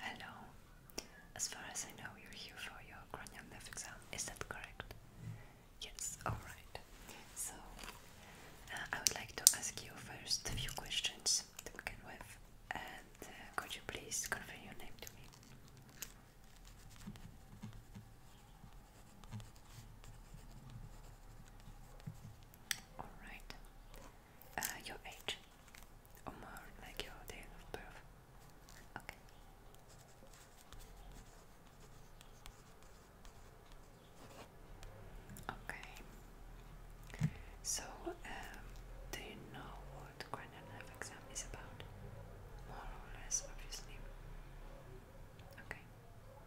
Hello. As far as I know, you're here for your cranial exam. Is that correct? Yes. All right. So uh, I would like to ask you first a few questions to begin with, and uh, could you please confirm your name to me? All right uh, your age, or more like your date of birth. Okay. Okay. So, um, do you know what cranial exam is about? More or less, obviously. Okay.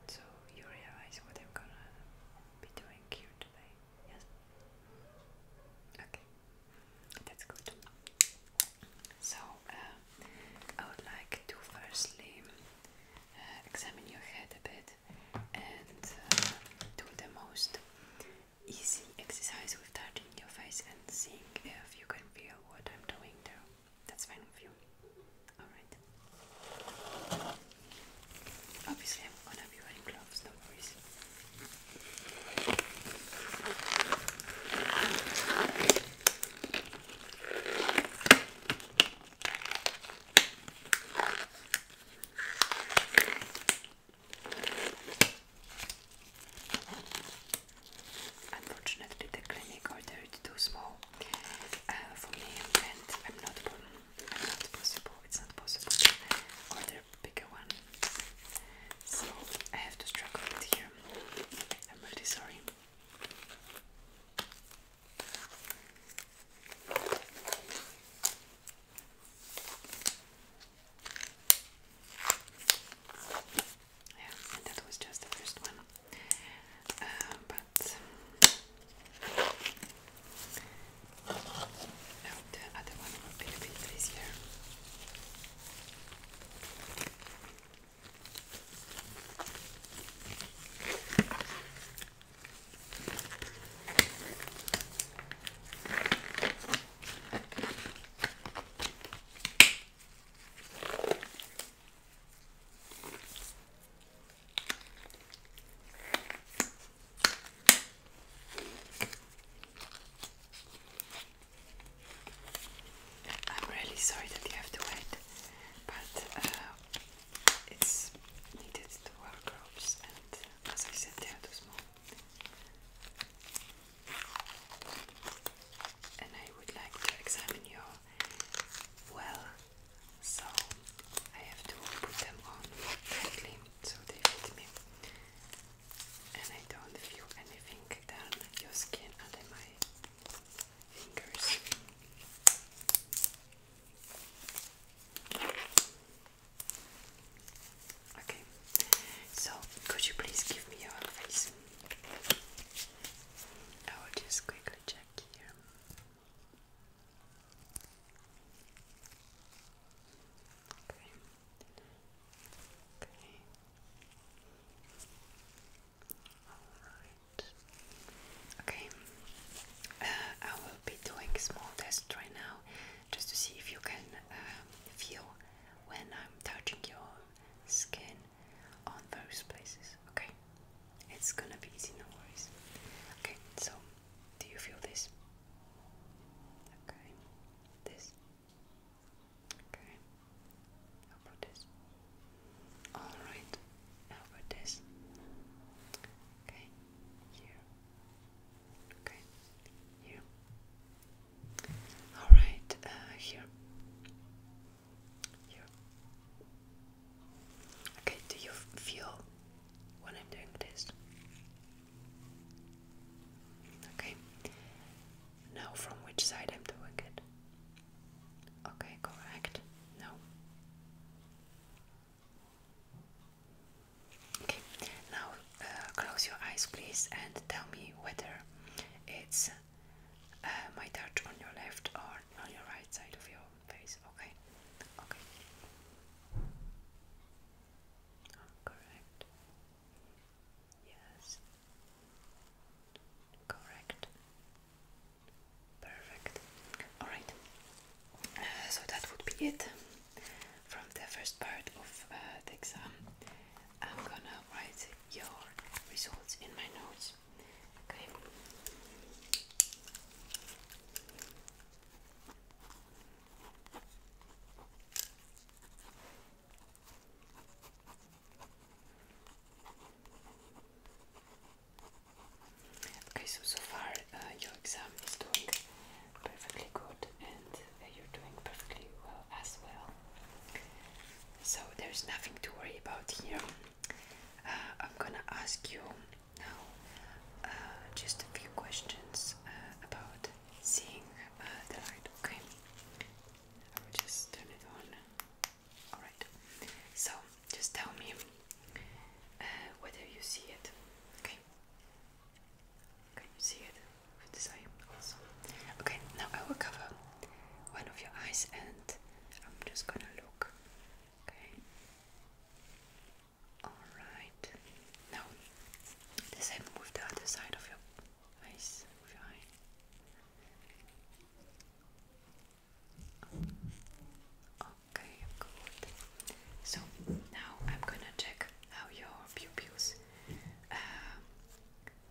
So you realize what I'm gonna be doing here today. Yes. Okay. That's good. So uh, I would like to firstly uh, examine your head a bit and uh, do the most easy exercise with touching your face and seeing if you can feel what I'm doing there. That's fine with you. Alright. Obviously, I'm gonna be wearing gloves, no worries. Unfortunately, the clinic order is too small uh, for me, and I'm not born not possible, it's not possible. Order bigger one. So I have to struggle here. I'm really sorry. Yeah, and that was just the first one. Uh, but that. No, the other one will be a bit easier. I'm really sorry that you have to wait, but uh, it's needed to wardrobes, and as I said, they are too small. And I would like to examine your well so I have to put them on tightly so they fit me and I don't feel anything down your skin under my fingers. Okay, so could you please give me your face? I will just quickly check here. Okay. Okay. Alright. Uh, okay. I will be doing small tests right now just to see if you can um, feel when I'm touching your skin on those places. Okay. It's gonna be easy, no worries. Okay, so do you feel this? Okay, this. Okay, how about this? Alright, how about this? Okay, here. Okay, here. Alright, uh, here. Okay, do you feel when I'm doing this? Okay. Now, from which side I'm doing it? Okay, correct. No. Okay, now uh, close your eyes, please, and tell me whether it's uh, my touch on your left or on your right side of your face. Okay, okay. Oh, correct. Yes. Correct. Perfect. Alright. Uh, so that would be it from the first part of uh, the exam. I'm gonna write your results in my notes. Okay. Okay, so so far uh, your exam is doing perfectly good, and uh, you're doing perfectly well as well. So there's nothing to worry about here. Uh, I'm gonna ask you now uh, just a few questions uh, about seeing the light. Okay, I will just turn it on. All right. So just tell me whether you see it. Okay. Can you see it this eye also? Okay. Now I will cover one of your eyes and I'm just gonna look. Okay. Alright. Now the same with the other side of your face Okay, good. So now I'm gonna check how your pupils uh,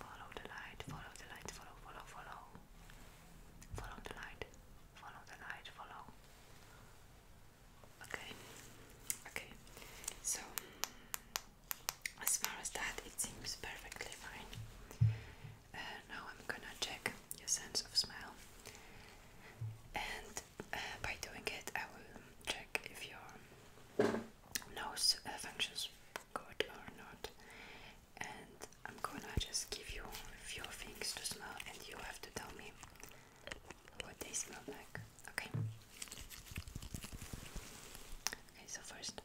Follow the light, follow the light, follow, follow, follow. Follow the light, follow the light, follow. Okay, okay. So, as far as that, it seems perfectly fine. Uh, now I'm gonna check your sense of smell. And by doing it, I will check if your nose uh, functions good or not. And I'm gonna just give you a few things to smell, and you have to tell me what they smell like. Okay. Okay. So first.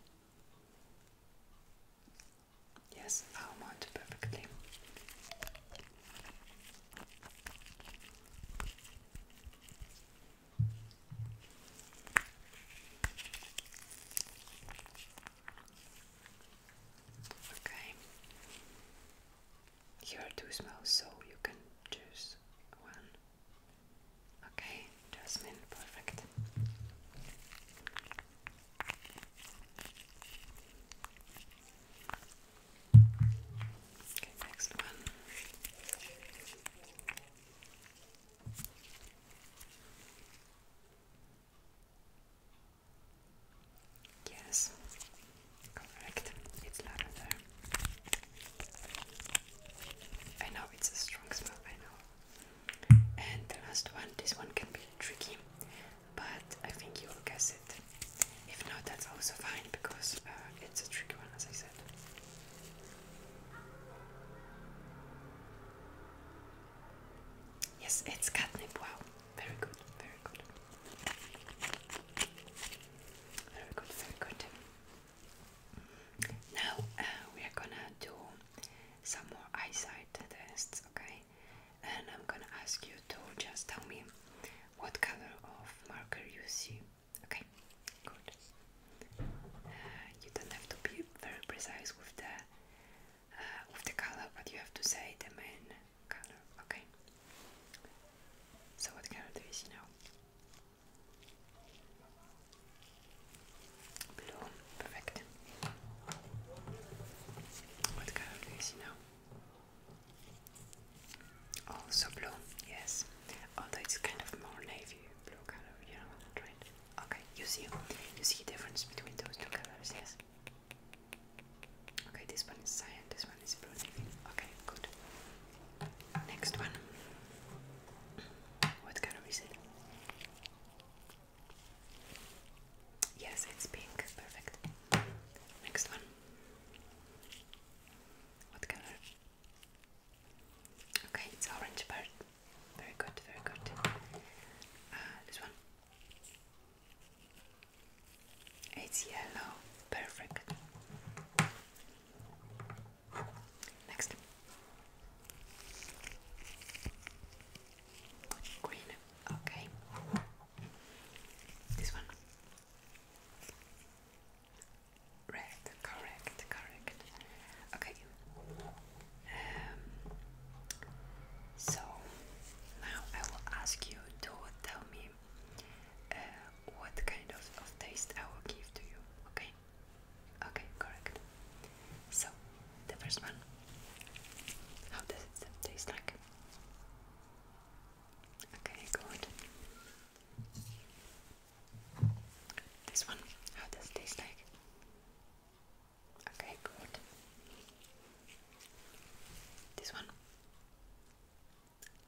Yes, I'm almond perfectly. Okay. Here are two smells, so you can choose one. Okay, jasmine, perfect. Yes, correct. It's lavender. I know it's a strong smell, I know. And the last one, this one can be tricky, but I think you will guess it. If not, that's also fine because uh, it's a tricky one, as I said. Yes, it's catnip. Wow, very good, very good, very good, very good. Now uh, we are gonna do some more eyesight tests, okay? And I'm gonna ask you to just tell me what color of marker you see. Okay, good. Uh, you don't have to be very precise with the uh, with the color, but you have to say the main color. Okay. So what color do you now? Blue, perfect. What color do you now? Also oh, blue, yes. Although it's kind of more navy blue color, you know what right? Okay, you see you see the difference between those two colors, yes? Okay, this one is cyan, this one is blue Okay, good. Next one. What color is it? Yes, it's pink. Perfect. Next one. What color? Okay, it's orange part. Very good, very good. Uh, this one. It's yellow. Perfect. Next. Green. Okay. This one. Red, correct, correct. Okay. Um, so now I will ask you to tell me uh, what kind of, of taste I will give to you. Okay. Okay, correct. So the first one. How does it taste like? Okay, good. This one, how does it taste like? Okay, good. This one?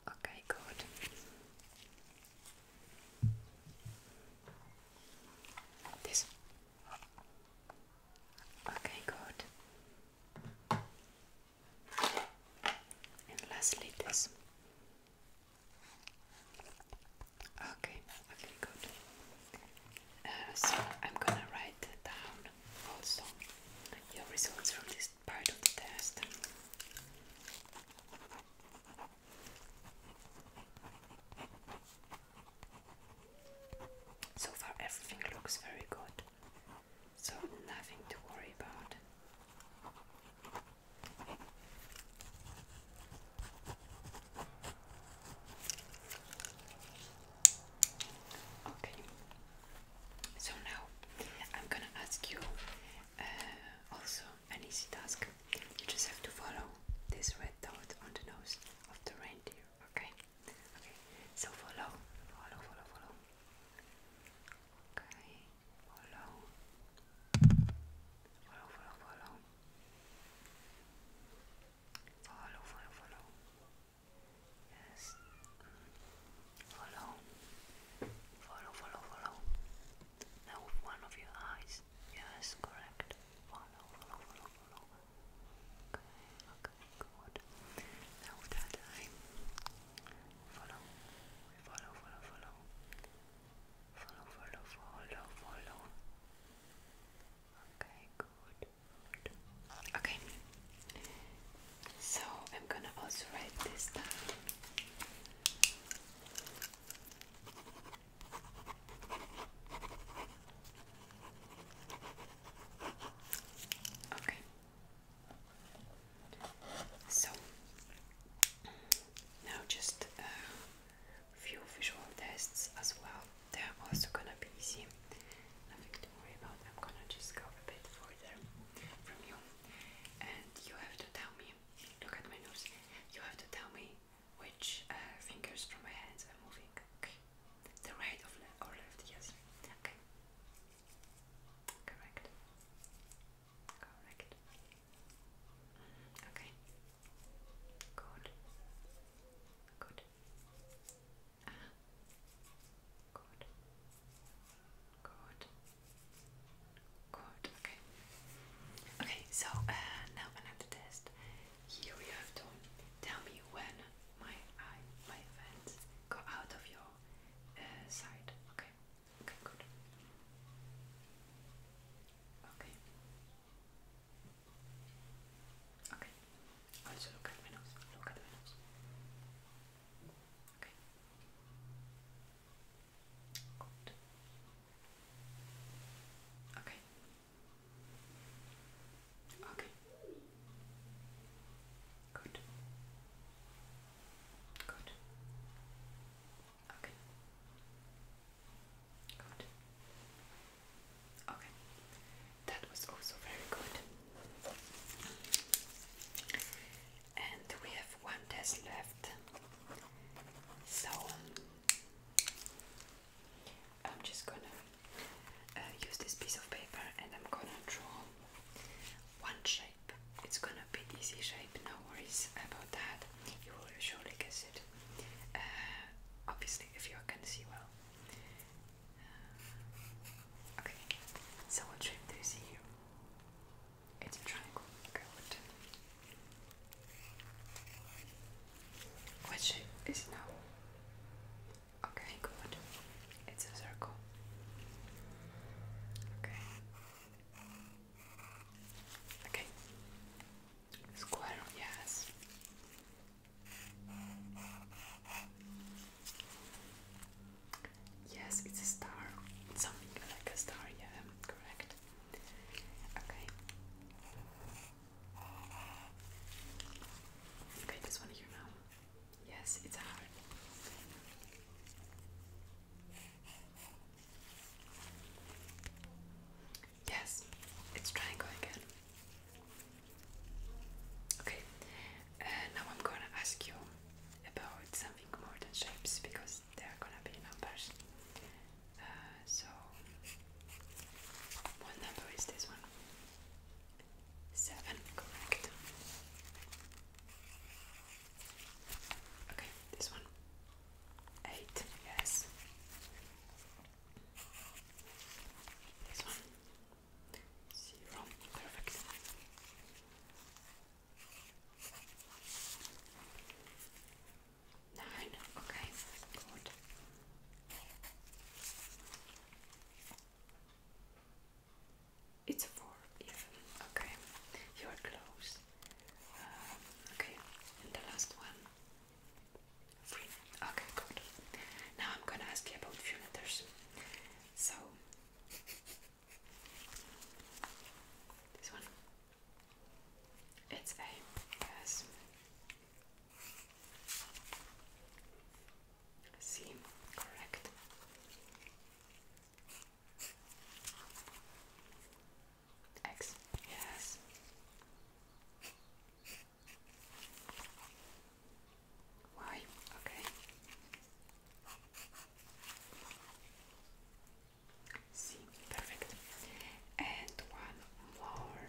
Okay, good. This? Okay, good. And lastly, this. Okay, okay, good. Uh, so I'm gonna write down also your results from this part of the test. So far, everything looks very good so nothing to worry about. Okay, so now I'm gonna ask you uh, also an easy task. You just have to follow this red dot on the nose of the reindeer, okay? Okay, so follow, follow, follow, follow. Okay, follow, follow, follow, follow, follow, follow, follow. Yes, follow, follow, follow, follow. Now with one of your eyes. Yes, correct. Follow, follow, follow, follow. Okay, good. Now that I follow, follow, follow, follow, follow, follow, follow, follow. Okay, good. Okay. So I'm gonna also write this down. Okay. So now just a few visual tests as well. They're also gonna be easy. Nothing to worry about. I'm gonna just go a bit further from you, and you have to tell me. Look at my nose. You have to tell me which uh, fingers from my hands are moving. Okay. The right of or left, yes. Okay. Correct. Correct. Okay. Good. Good. Uh Good. Good. Good. Okay. Okay, so uh, now another test. Here we have to tell me when my my fans go out of your uh, side. Okay. Okay. Okay. Okay. Also look at my nose. Look at my nose. Okay. Good. Okay. Okay. Good. Good. Okay. Good. Okay. That was also very good. And we have one test left. So I'm just gonna uh, use this piece of paper and I'm gonna draw one shape. It's gonna be easy shape, no worries about that. You will surely guess it. Uh, obviously, if you can see well. Uh, okay, so what shape do you see here? It's a triangle. Good. Which is now. Okay, good. It's a circle. Okay. Okay. Square, yes. Yes, it's a star. Something like a star, yeah, correct. Okay. Okay, this one here now. Yes, it's hard. Yes, it's triangle again. Okay, uh, now I'm gonna ask you about something more than shapes because there are gonna be numbers. Uh, so, what number is this one? Seven, correct. Okay, this one. Eight, yes. This one. Zero, perfect. Nein, okay, gut. It's a four, even. Okay, you are close. Um, okay, and the last one. Three. Okay, good. Now I'm gonna ask you about few letters. So, this one. It's A, yes. C, correct. X, yes. Y, okay. See, perfect. And one more.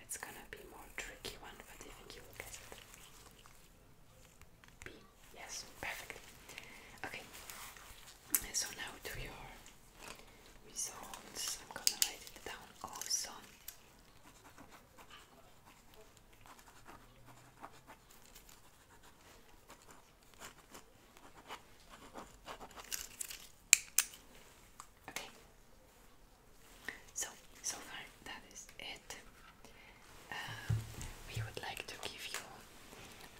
It's gonna be more tricky one, but I think you will get it. B. Yes, perfect. Okay. So now to your results. I'm gonna write it down also. Okay. So, so far that is it. Um, we would like to give you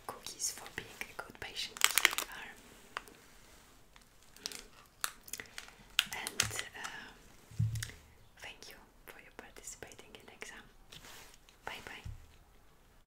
cookies for being a good patient you are. And um, thank you for your participating in exam. Bye bye.